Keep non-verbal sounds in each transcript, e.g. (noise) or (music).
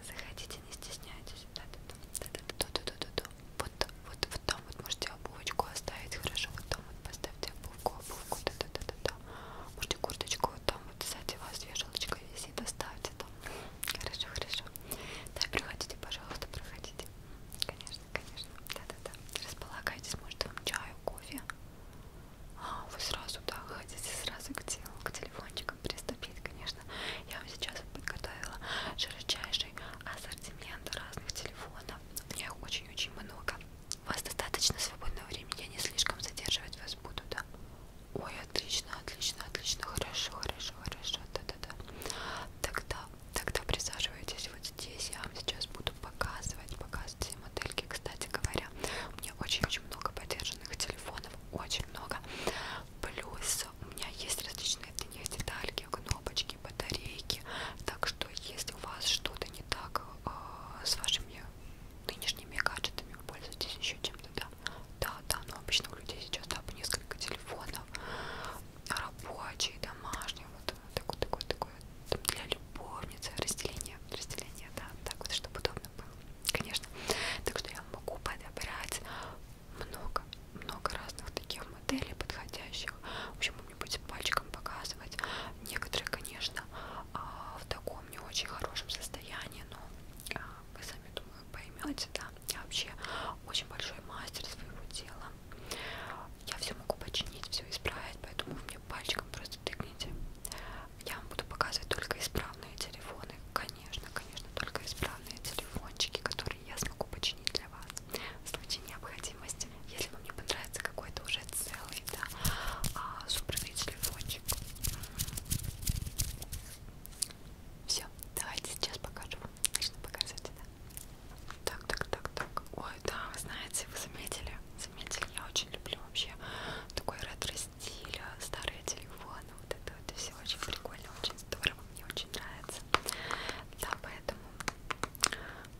Заходите, не стесняйтесь. Вот, вот, вот там вот можете обувочку оставить, хорошо, вот там вот поставьте обувку, обувку, да-да-да-да. Можете курточку вот там вот сзади вас вешалочка висит, оставьте там. Хорошо, хорошо. Да, проходите, пожалуйста, проходите. Конечно, конечно. Да-да-да. Располагайтесь, может вам чаю, кофе. А, вы сразу, да, хотите сразу к телу, к телефону блинчикам приступить, конечно. Я вам сейчас подготовила широчайший ассортимент разных телефонов. У меня их очень-очень много. У вас достаточно свободного времени, я не слишком задерживать вас буду, да? Ой, отлично, отлично, отлично, хорошо, хорошо, хорошо, да-да-да. Тогда, тогда присаживайтесь вот здесь, я вам сейчас буду показывать, показывать все модельки. Кстати говоря, у меня очень-очень много подержанных телефонов, очень много. Плюс у меня есть различные для них детальки, кнопочки, батарейки. Так что если у вас что-то не так э, с вашими нынешними гаджетами, вы пользуетесь еще чем-то, да? Да, да, но обычно у людей сейчас да, по несколько телефонов, рабочие, домашние, вот такой, такой, такой, для любовницы, разделение, разделение, да, так вот, чтобы удобно удобно было, конечно. Так что я могу подобрать много-много разных таких моделей подходящих. В общем, мне будет пальчиком показывать. Некоторые, конечно, а, в таком не очень хорошем состоянии, но а, вы сами, думаю, поймете, да. Я вообще очень большой мастер своего дела. Я все могу починить, все исправить, поэтому вы мне пальчиком просто тыкните. Я вам буду показывать только исправные телефоны конечно, конечно, только исправные телефончики, которые я смогу починить для вас в случае необходимости. Если вам не понравится какой-то уже целый, да, а, собранный телефончик. Все, давайте сейчас покажу вам. Начну показывать, да. Так, так, так, так. Ой, да, вы знаете, вы заметили? Заметили, я очень люблю вообще такой ретро-стиль, э, старые телефоны плана. Ну, вот это, это все очень прикольно, очень здорово, мне очень нравится. Да, поэтому,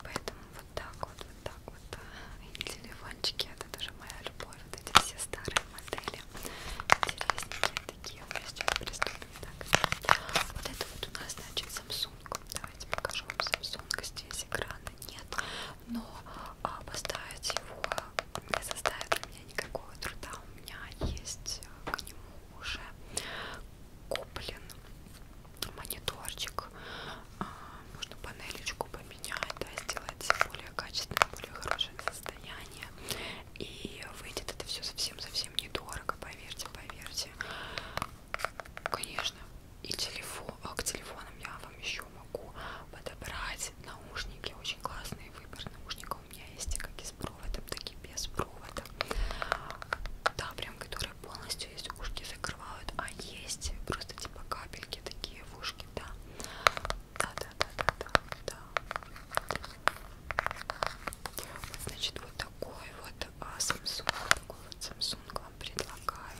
поэтому вот так вот, вот так вот. И телефончики, это тоже моя любовь. Вот эти все старые модели. Интересненькие такие. Мы сейчас приступим. Так. Вот это вот у нас, значит, Samsung. Давайте покажу вам Samsung. Здесь экрана нет но а, поставить его не составит для меня никакого труда. У меня есть э, к нему уже куплен мониторчик, а, можно панелечку поменять, да, сделать более качественное, более хорошее состояние. И выйдет это все совсем-совсем недорого, поверьте, поверьте. Конечно, и телефон, а к телефонам я вам еще могу могу подобрать наушники, очень классный выбор наушников у меня есть, как и с проводом, так и без провода. Да, прям которые полностью есть, ушки закрывают, а есть просто типа капельки такие в ушки, да. Да, да, да, да, да, да. Значит, вот такой вот а, Samsung, такой вот Samsung вам предлагаю.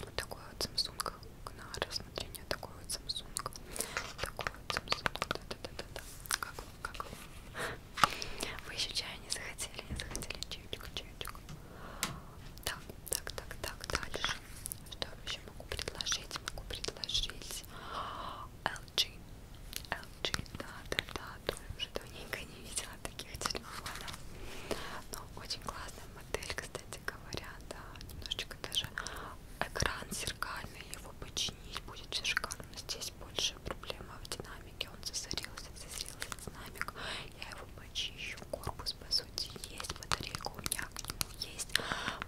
Вот такой вот Samsung Gnar рассмотрения такой вот Samsung. Такой вот Samsung. Да-да-да-да. Как вам? Как вам? Вы еще чая не захотели? Не захотели? Чайчик, чайчик. Так, так, так, так. Дальше. Что еще могу предложить? Могу предложить LG. LG, да-да-да. Тоже давненько не видела таких телефонов. Но ну, очень классная моделька с кстати говоря, да, немножечко даже экран зеркальный, его починить будет все шикарно. Здесь больше проблема в динамике, он засорился, засорился динамик. Я его почищу, корпус по сути есть, батарейка у меня к нему есть,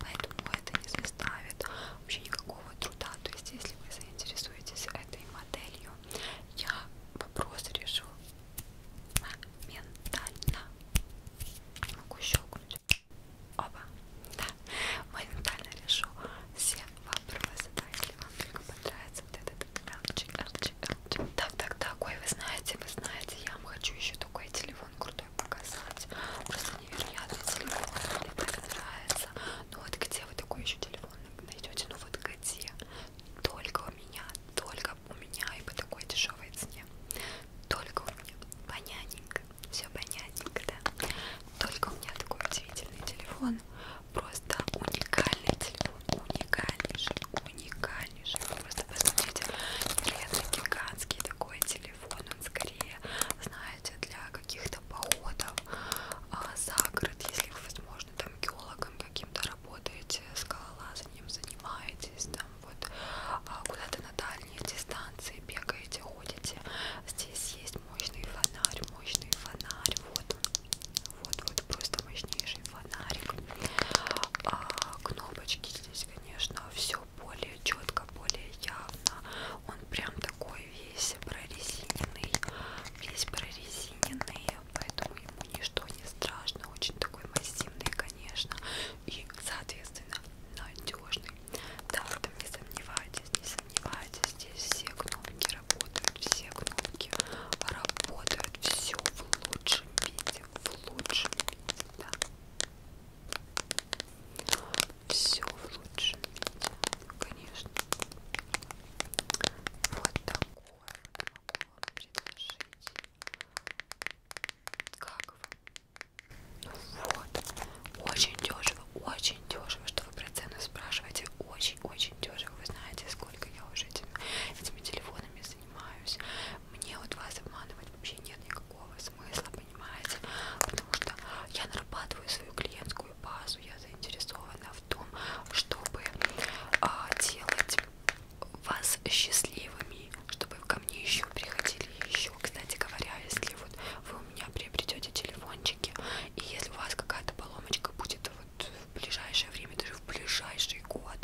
поэтому это не заставит вообще никакого труда. То есть, если вы заинтересуетесь этой моделью, я вопрос решу моментально. Могу щелкнуть. Оба. Да. Моментально решу все вопросы. Да, если вам только понравится вот этот LG, LG, LG. Так, так, так. Ой, вы знаете, вы знаете, я вам хочу еще такой телефон крутой показать. Просто невероятный телефон. Мне так нравится. Ну вот где вы такой еще телефон найдете? Ну вот где? Только у меня, только у меня и по такой дешевой цене. Только у меня понятненько, все понятненько, да. Только у меня такой удивительный телефон, просто уникальный телефон, уникальнейший, уникальнейший. Просто посмотрите, невероятно гигантский такой телефон, он скорее, знаете, для каких-то походов а, за город, если вы, возможно, там геологом каким-то работаете, скалолазанием занимаетесь, там вот а куда-то на дальние дистанции бегаете, ходите. Здесь есть мощный фонарь, мощный фонарь, вот он, вот, вот просто мощнейший фонарик. А кнопочки здесь, конечно, все более четко, более явно. Он прям такой весь прорезиненный, весь прорезиненный, поэтому ему ничто не страшно, очень такой массивный, конечно, и, соответственно, надежный. Да, в этом не сомневайтесь, не сомневайтесь, здесь все кнопки работают, все кнопки работают, все в лучшем виде, в лучшем виде, да. Все в лучшем виде, конечно. Вот такое могу вам предложить. Как вам? Вот. Очень дешево, очень дешево, что вы про цену спрашиваете. Очень-очень дешево. Вы знаете, сколько я уже этими, этими телефонами занимаюсь. Мне вот вас обманывать вообще нет никакого смысла, понимаете? Потому что я нарабатываю свою клиентскую базу, я заинтересована в том, чтобы а, делать вас счастливыми, чтобы ко мне еще приходили еще. Кстати говоря, если вот вы у меня приобретете телефончики, и если у вас какая-то поломочка будет вот в ближайшее время, даже в ближайший год,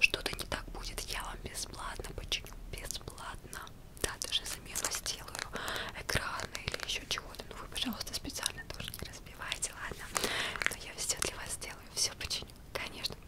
что-то не так будет, я вам бесплатно починю, бесплатно. Да, даже замену сделаю экрана или еще чего-то. Ну вы, пожалуйста, специально тоже не разбивайте, ладно? Но я все для вас сделаю, все починю, конечно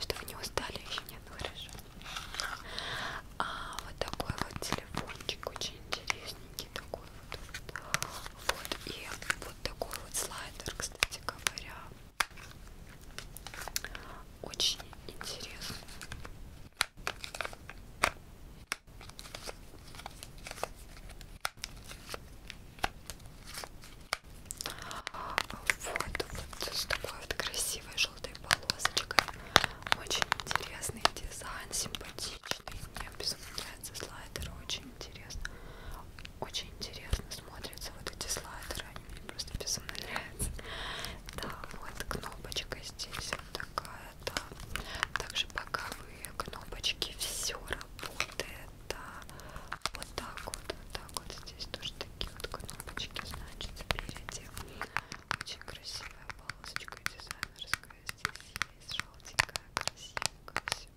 Что вы не устали еще? Нет, ну хорошо. А вот такой вот телефончик, очень интересненький такой вот. Вот и вот такой вот слайдер, кстати говоря. Очень интересно. Вот, вот с такой вот красивой желтой полосочкой. Очень интересный дизайн, симпатичный. Мне безумно нравятся слайдеры, очень интересно. Очень интересно смотрятся вот эти слайдеры, они мне просто безумно нравятся. Да, вот кнопочка здесь вот такая, да. Также боковые кнопочки, все работает, да. Вот так вот, вот так вот здесь тоже такие вот кнопочки значит спереди очень красивая полосочка дизайнерская здесь есть желтенькая красивенькая все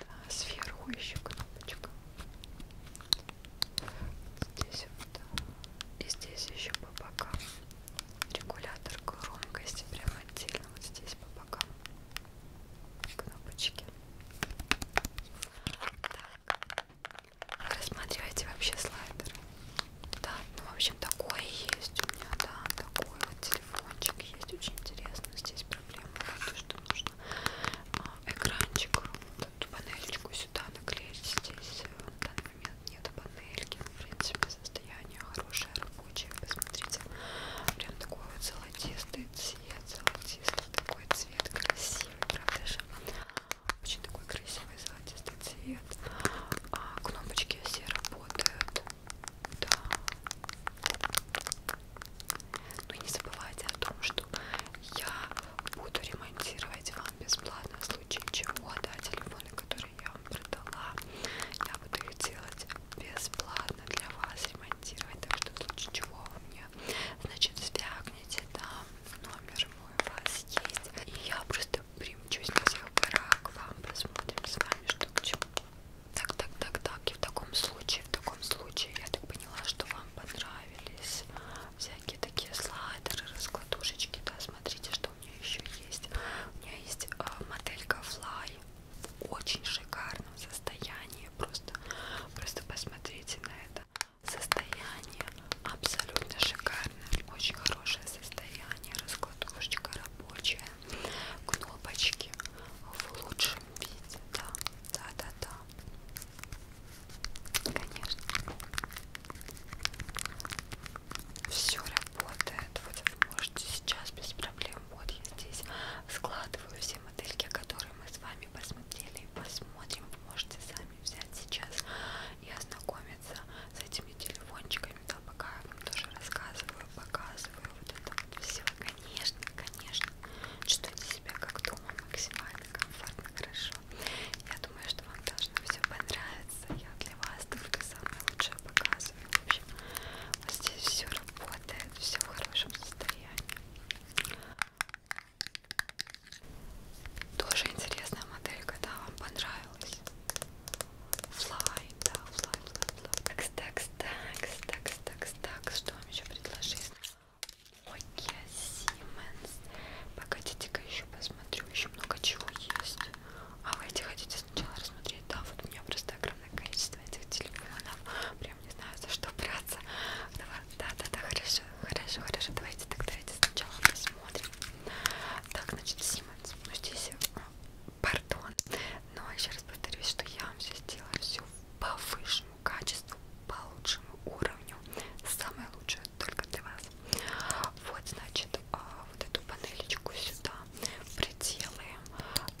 да, сверху еще кнопочка здесь вот и здесь еще по бокам регулятор громкости прямо отдельно вот здесь по бокам кнопочки так. Рассматривайте вообще слайдеры. Да, ну в общем такое есть у меня, да, такой вот телефончик есть, очень интересно. Здесь проблема то, что нужно а, экранчик, вот а эту панельку сюда наклеить. Здесь э, в данный момент нет панельки, в принципе состояние хорошее, рабочее. Посмотрите, прям такой вот золотистый цвет, золотистый такой цвет красивый, правда же? Очень такой красивый золотистый цвет. А кнопочки все работают. Да. Ну и не забывайте о том, что я буду ремонтировать вам бесплатно в случае чего, да, телефоны, которые я вам продала, я буду их делать бесплатно для вас, монтировать, так что в случае чего вы мне, значит, звякните там, номер мой у вас есть, и я просто примчусь на всех горах к вам, посмотрим с вами, что к чему. Так, так, так, так, и в таком случае, в таком случае, я так поняла, что вам понравились всякие такие слайдеры, раскладушечки, да, смотрите, что у меня еще есть. У меня есть э, моделька Fly, очень шикарном состоянии. Просто, просто посмотрите на это. Состояние абсолютно шикарное. Очень хорошее состояние. Раскладушечка рабочая. Кнопочки в лучшем виде. Да, да, да, да. Конечно. Все работает. Вот вы можете сейчас без проблем. Вот я здесь складываю все модельки, которые которые мы с вами посмотрели и посмотрим, вы можете сами взять сейчас и ознакомиться с этими телефончиками, да, пока я вам тоже рассказываю, показываю вот это вот все. Конечно, конечно, чувствуйте себя как дома максимально комфортно, хорошо. Я думаю, что вам должно все понравиться. Я для вас только самое лучшее показываю. В общем, вот здесь все работает, все в хорошем состоянии. Тоже интересная моделька, да, вам понравилась? Fly, да, fly, fly, fly. Такс, такс, такс, такс, такс, такс. Что вам еще предложить? Nokia, Siemens. Погодите-ка еще посмотрю, еще много чего есть. А вы эти хотите сначала рассмотреть? Да, вот у меня просто огромное количество количество этих телефонов. Прям не знаю, за что браться. Давай, да, да, да, хорошо, хорошо, хорошо. Давайте тогда эти сначала посмотрим. Так, значит, Симмонс. Ну, здесь, пардон, но еще раз повторюсь, что я вам все сделаю все по высшему качеству, по лучшему уровню. Самое лучшее только для вас. Вот, значит, а, вот эту панелечку сюда приделаем.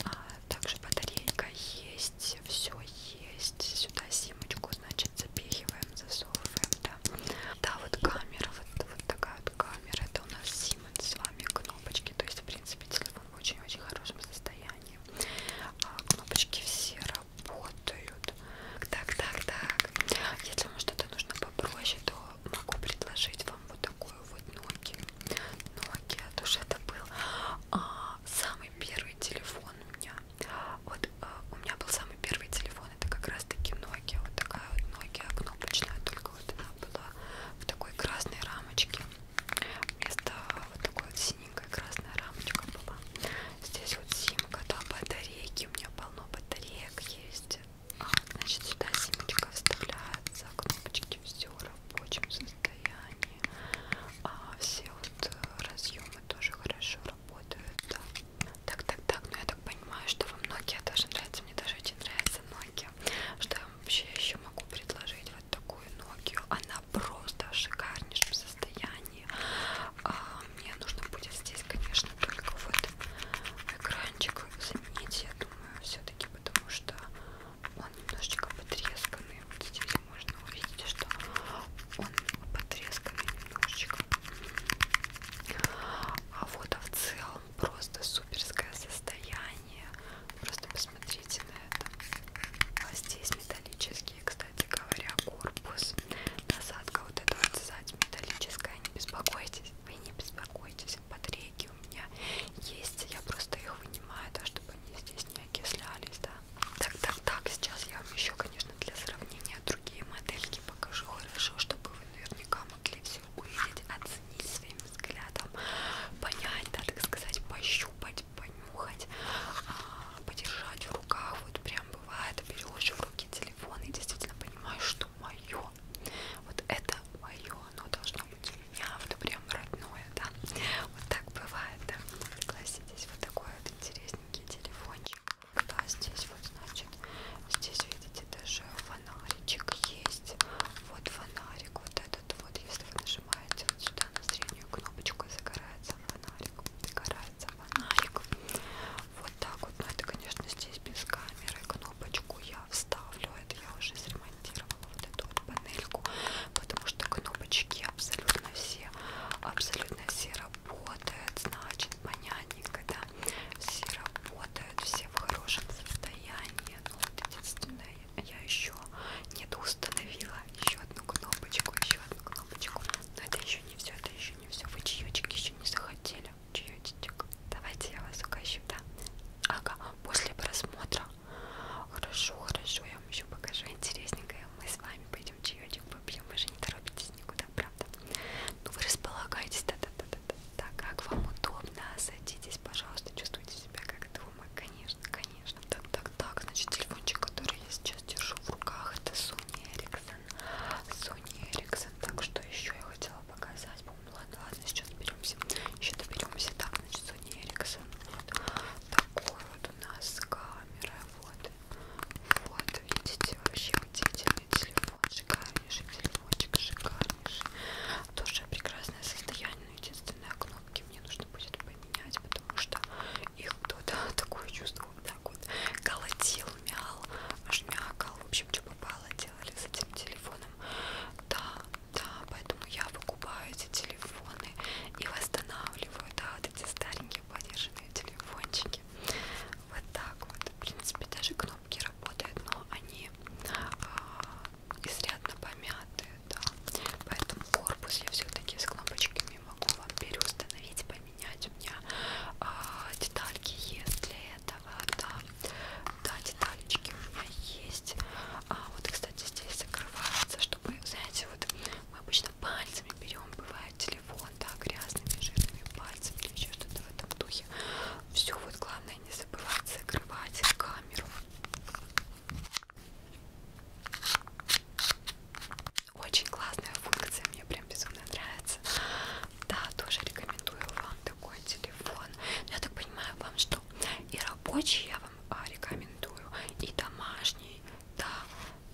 А, также батарейка есть, все есть. Сюда симочку, значит, запихиваем, засовываем, да. Да, вот камера, вот, вот такая вот камера. Это у нас Siemens с вами кнопочки. То есть, в принципе, телефон в очень-очень хорошем состоянии. А, кнопочки все работают. Так, так, так. Если вам что-то нужно попроще, то могу предложить вам вот такую думаю, вот Nokia. Nokia, то что это был а, самый первый телефон у меня. Вот а, у меня был самый первый телефон, это как раз-таки Nokia, вот такая вот Nokia а кнопочная, только вот она была в такой красной рамочке. Вместо вот такой вот синенькой красная рамочка была. Здесь вот симка, да, батарейки, у меня полно батареек есть. А, значит, сюда симочка вставляется, кнопочки все рабочим с состоянии. А все вот э, разъемы тоже хорошо работают. Да. Так, так, так. Но ну, я так понимаю, что вам Nokia тоже нравится. Мне даже очень нравится Nokia. Что я вообще еще могу предложить? Вот такую Nokia. Она просто в шикарнейшем состоянии. А мне нужно будет здесь, конечно, только вот экранчик заменить, я думаю, все-таки, потому что он немножечко потресканный. Вот здесь можно увидеть, что он потресканный немножечко. А вот а в целом просто суперское состояние. Просто посмотрите на это. А здесь металлические, кстати говоря, корпус. Насадка вот эта вот сзади металлическая. Не беспокойтесь, вы не беспокойтесь здесь батарейки у меня есть, я просто их вынимаю, да, чтобы они здесь не окислялись, да. Так, так, так, сейчас я вам еще, конечно, для сравнения другие модельки покажу, хорошо, чтобы вы наверняка могли все увидеть, оценить своим взглядом, понять, да, так сказать, пощупать, понюхать, а, подержать в руках, вот прям бывает, берешь в руки телефон и действительно понимаешь, что мое, вот это мое, оно должно замки явно прям родное, да. Вот так бывает, да. Согласитесь, вот такой вот интересненький телефончик. Да, здесь вот, значит, здесь, видите, даже фонаричек есть. Вот фонарик, вот этот вот, если вы нажимаете вот сюда на среднюю кнопочку, загорается фонарик, загорается фонарик. Вот так вот, но это, конечно, здесь без камеры. Кнопочку я вставлю, это я уже зря отремонтировала вот эту вот панельку, потому что кнопочки абсолютно все, абсолютно все работают, значит, понятненько, да, все работают, все в хорошем состоянии, но ну, вот единственное, я еще не установила еще одну кнопочку, еще одну кнопочку, но это еще не все, это еще не все, вы чаечек еще не захотели, чаечек, давайте я вас угощу, да, ага, после просмотра Хорошо, хорошо, я вам еще покажу интересненькое. Мы с вами пойдем чаечек попьем. Вы же не торопитесь никуда, правда? Ну вы располагаетесь, да-да-да-да. Так, как вам удобно, садитесь, пожалуйста, чувствуйте себя как дома, конечно, конечно. Так, так, так, значит, телефончик, который я сейчас держу в руках, это Sony Ericsson. Sony Ericsson, так что еще я хотела показать. По-моему, ладно, ладно, сейчас доберемся. Еще доберемся. Так, значит, Соня Эриксон. Вот такой вот у нас камера. Вот. Вот, видите, вообще удивительный телефон. Шикарнейший телефончик, шикарнейший. Тоже прекрасное состояние. Но единственное, кнопки мне нужно будет поменять, потому что их кто-то (laughs) такое чувство вот так вот колотил, мял, жмякал. В общем, что попало делали с этим телефоном. Да, да, поэтому я выкупаю эти телефоны и восстанавливаю, да, вот эти старенькие подержанные телефончики. Вот так вот. В принципе, даже кнопки работают, но они а, изрядно помяты, да. Поэтому корпус я все-таки с кнопочками могу вам переустановить, поменять. У меня а, детальки есть для этого, да. Да, деталечки у меня есть. А вот, кстати, здесь закрывается, чтобы, знаете, вот мы обычно пальцами берем, бывает телефон, да, грязными, жирными пальцами или еще что-то в этом духе. Все, вот главное не забывать закрывать камеру. Очень классная функция, мне прям безумно нравится. Да, тоже рекомендую вам такой телефон. Но я так понимаю, вам что что и рабочий я вам а, рекомендую, и домашний, да,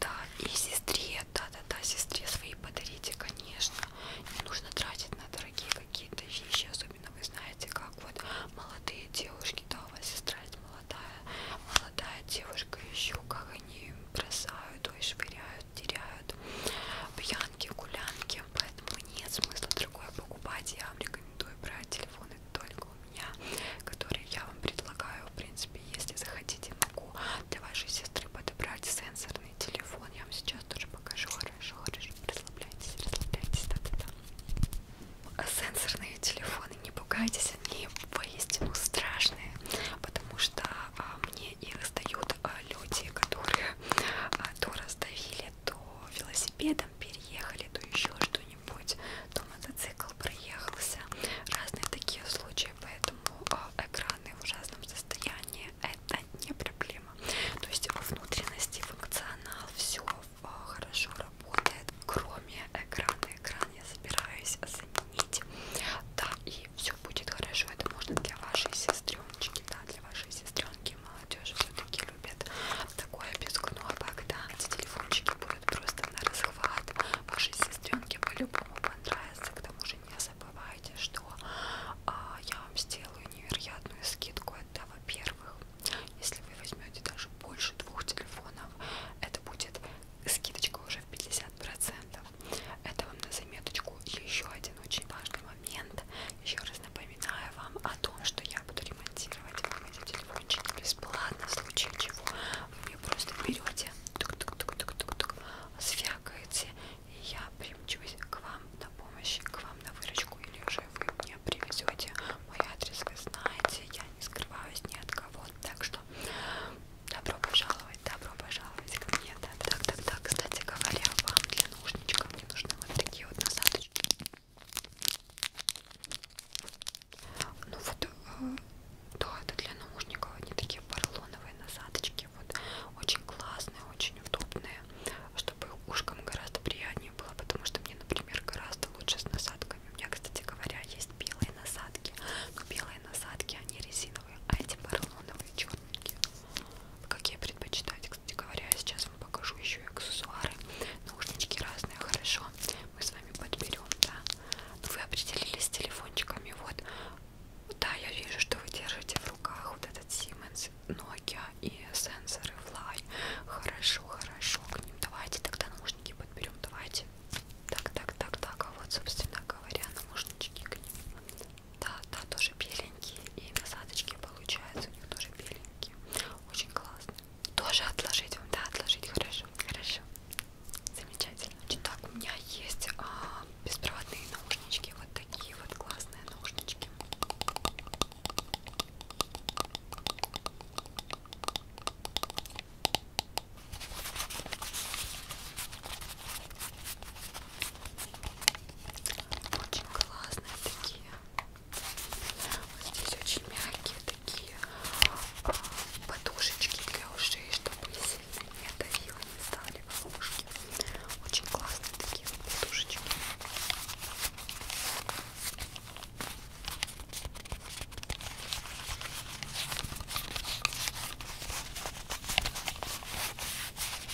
да, и сестре, да, да, да, сестре свои подарите, конечно. Не нужно тратить на дорогие какие-то вещи, особенно вы знаете, как вот молодые девушки, да, у вас сестра есть молодая, молодая девушка еще, как они бросают, ой, швыряют, теряют пьянки, гулянки, всем, поэтому нет смысла другое покупать. Я вам рекомендую брать телефоны только у меня, которые я вам предлагаю. В принципе, если захотите, могу для вашей сестры подобрать сенсорный телефон. Я вам сейчас тоже покажу. Хорошо, хорошо, расслабляйтесь, расслабляйтесь. Да, да, да. Сенсорные телефоны, не пугайтесь, они воистину страшные, потому что а, мне их сдают а, люди, которые а, то раздавили, то велосипедом переехали, то еще что-нибудь, то мотоцикл проехался. Разные такие случаи, поэтому а, экраны в ужасном состоянии это не проблема. То есть внутренности, функционал, все а, хорошо работает, кроме экрана. Экран я собираюсь заменить. Да, и все будет хорошо. Это можно для вашей сестреночки, да, для вашей сестренки молодежь все-таки любит такое безгнобое, когда эти телефончики будут просто на расхват. Вашей сестренке по-любому понравится. К тому же не забывайте, что а, я вам сделаю невероятную скидку. Это, во-первых, если вы возьмете даже больше двух телефонов, это будет скидочка уже в 50%. Это вам на заметочку еще один очень важный момент. Еще раз напоминаю вам о том, что я буду ремонтировать вам эти телефончики бесплатно, в случае чего вы просто берете, тук -тук -тук -тук -тук -тук, сфякаете, и я примчусь к вам на помощь, к вам на выручку, или уже вы мне привезете мой адрес, вы знаете, я не скрываюсь ни от кого, так что добро пожаловать, добро пожаловать к мне, да, так, так, так, кстати говоря, вам для нужд наушничкам мне нужны вот такие вот насадочки. Ну вот, э, да, это для наушников, они такие поролоновые насадочки, вот, очень классные, очень удобные, чтобы ушкам гораздо приятнее было, потому что мне, например, гораздо лучше с насадками. У меня, кстати говоря, есть белые насадки, но белые насадки, они резиновые, а эти поролоновые, черненькие. Какие предпочитать, кстати говоря, сейчас вам покажу еще и аксессуары. Наушнички разные, хорошо. Мы с вами подберем, да. Ну, вы определились с телефончиками, вот. Да, я вижу, что вы держите в руках вот этот Siemens, Nokia и сенсоры Fly. Хорошо, хорошо, к ним давайте тогда наушники подберем, давайте. Так, так, так, так, а вот, собственно говоря, наушнички к ним. Да, да, тоже беленькие. И насадочки получаются у них тоже беленькие. Очень классно. Тоже отложить вам, да, отложить. Хорошо, хорошо. Замечательно. Итак, у меня есть а, беспроводные наушнички. Вот такие вот классные наушнички. Очень классные такие. Вот здесь очень мягкие такие а, подушечки для ушей, чтобы сильно не давило, не стали волошки. Очень классные такие вот подушечки. Очень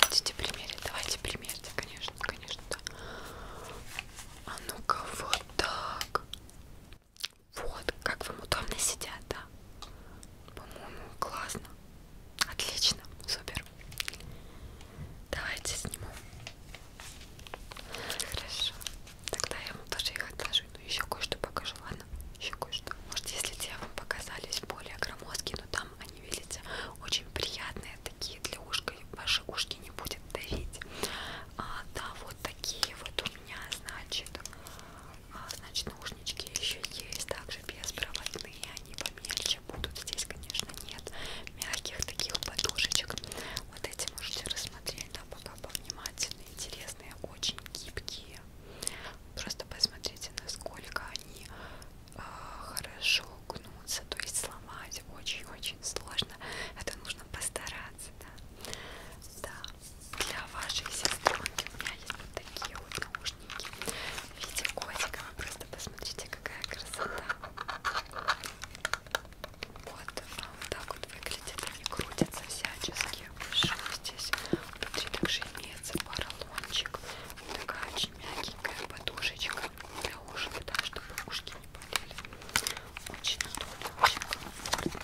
Хотите примерить? Давайте примерьте, конечно, конечно, да. А ну-ка, вот так. Вот, как вам удобно сидят, да? По-моему, классно. Отлично, супер. Давайте сниму. Хорошо. Тогда я ему тоже их отложу машину. Еще кое-что покажу, ладно? Еще кое-что. Может, если те вам показались более громоздкие, но там они, видите, очень приятные такие для ушка. Ваши ушки не будет давить. А, да, вот такие вот у меня, значит, а, значит, наушнички еще есть. Также беспроводные, они помельче будут. Здесь, конечно, нет мягких таких подушечек. Вот эти можете рассмотреть, да, пока повнимательно. Интересные, очень гибкие себе. Просто посмотрите, насколько они э, хорошо гнутся, то есть сломать очень-очень сложно. Это нужно постараться, да. Да. Для вашей сестренки у меня есть вот такие вот наушники в виде котика. Вы просто посмотрите, какая красота. Вот, а вот так вот выглядит, они крутятся всячески таких больших здесь внутри также имеется поролончик такая очень мягенькая подушечка для ушек да, чтобы ушки не болели очень удобно, очень комфортно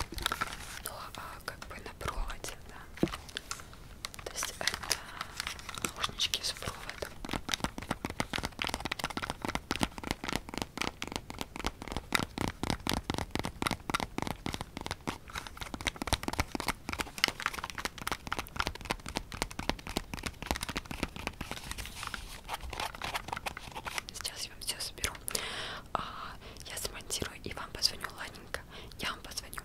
но ну, а, как бы на проводе да? то есть это наушнички с проводом Сейчас я вам все соберу. А, я смонтирую и вам позвоню, ладненько. Я вам позвоню.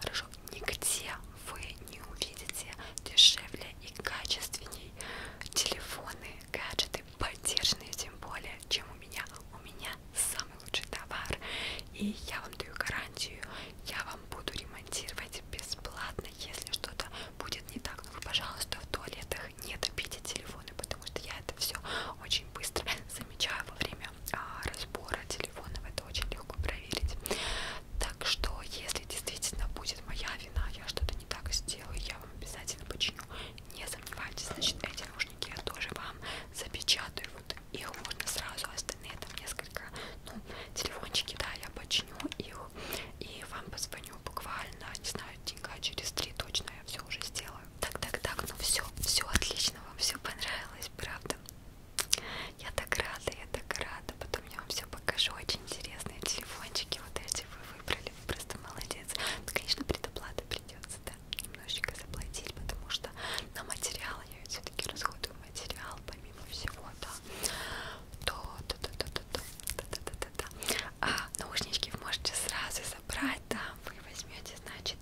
Хорошо. Нигде вы не увидите дешевле и качественней телефоны, гаджеты, поддержанные тем более, чем у меня. У меня самый лучший товар. И я вам даю гарантию, я вам буду ремонтировать бесплатно, если что-то будет не так. Но ну, вы, пожалуйста, в туалетах не топите телефоны, потому что я это все очень быстро замечаю во время а, разбора телефонов. Это очень легко проверить. Так что, если действительно будет моя вина, я что-то не так сделаю, я вам обязательно починю не сомневайтесь, значит эти наушники я тоже вам запечатаю, вот их можно сразу, а остальные там несколько, ну, телефончики, да, я починю их и вам позвоню буквально, не знаю, денька через три точно я все уже сделаю. Так, так, так, ну все, все отлично, вам все понравилось, правда? Я так рада, я так рада, потом я вам все покажу, очень интересные телефончики вот эти вы выбрали просто молодец. Ну, конечно, предоплата придется, да, немножечко заплатить, потому что на материал я ведь все-таки расходую материал, помимо всего, да. То, то, то, то, то, то, то, то, то, то, то. А наушнички вы можете сразу забрать, да, вы возьмете, значит,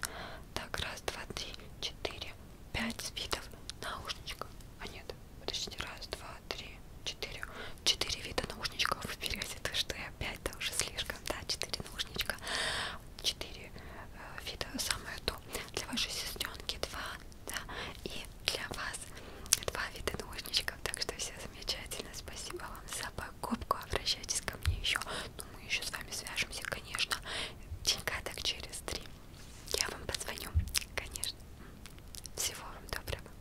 так, раз, два, три, четыре, пять видов наушничков. А нет, подождите, раз, два, три, четыре, четыре вида наушничков впереди, то что и опять, да, уже слишком, да, четыре наушничка, четыре э, вида, самое то, для вашей сестренки два, да, и для вас два вида наушничков, так что все замечательно, спасибо вам за покупку, обращайтесь ко мне еще, ну, мы еще с вами свяжемся, конечно, денька так через три, я вам позвоню, конечно, всего вам доброго.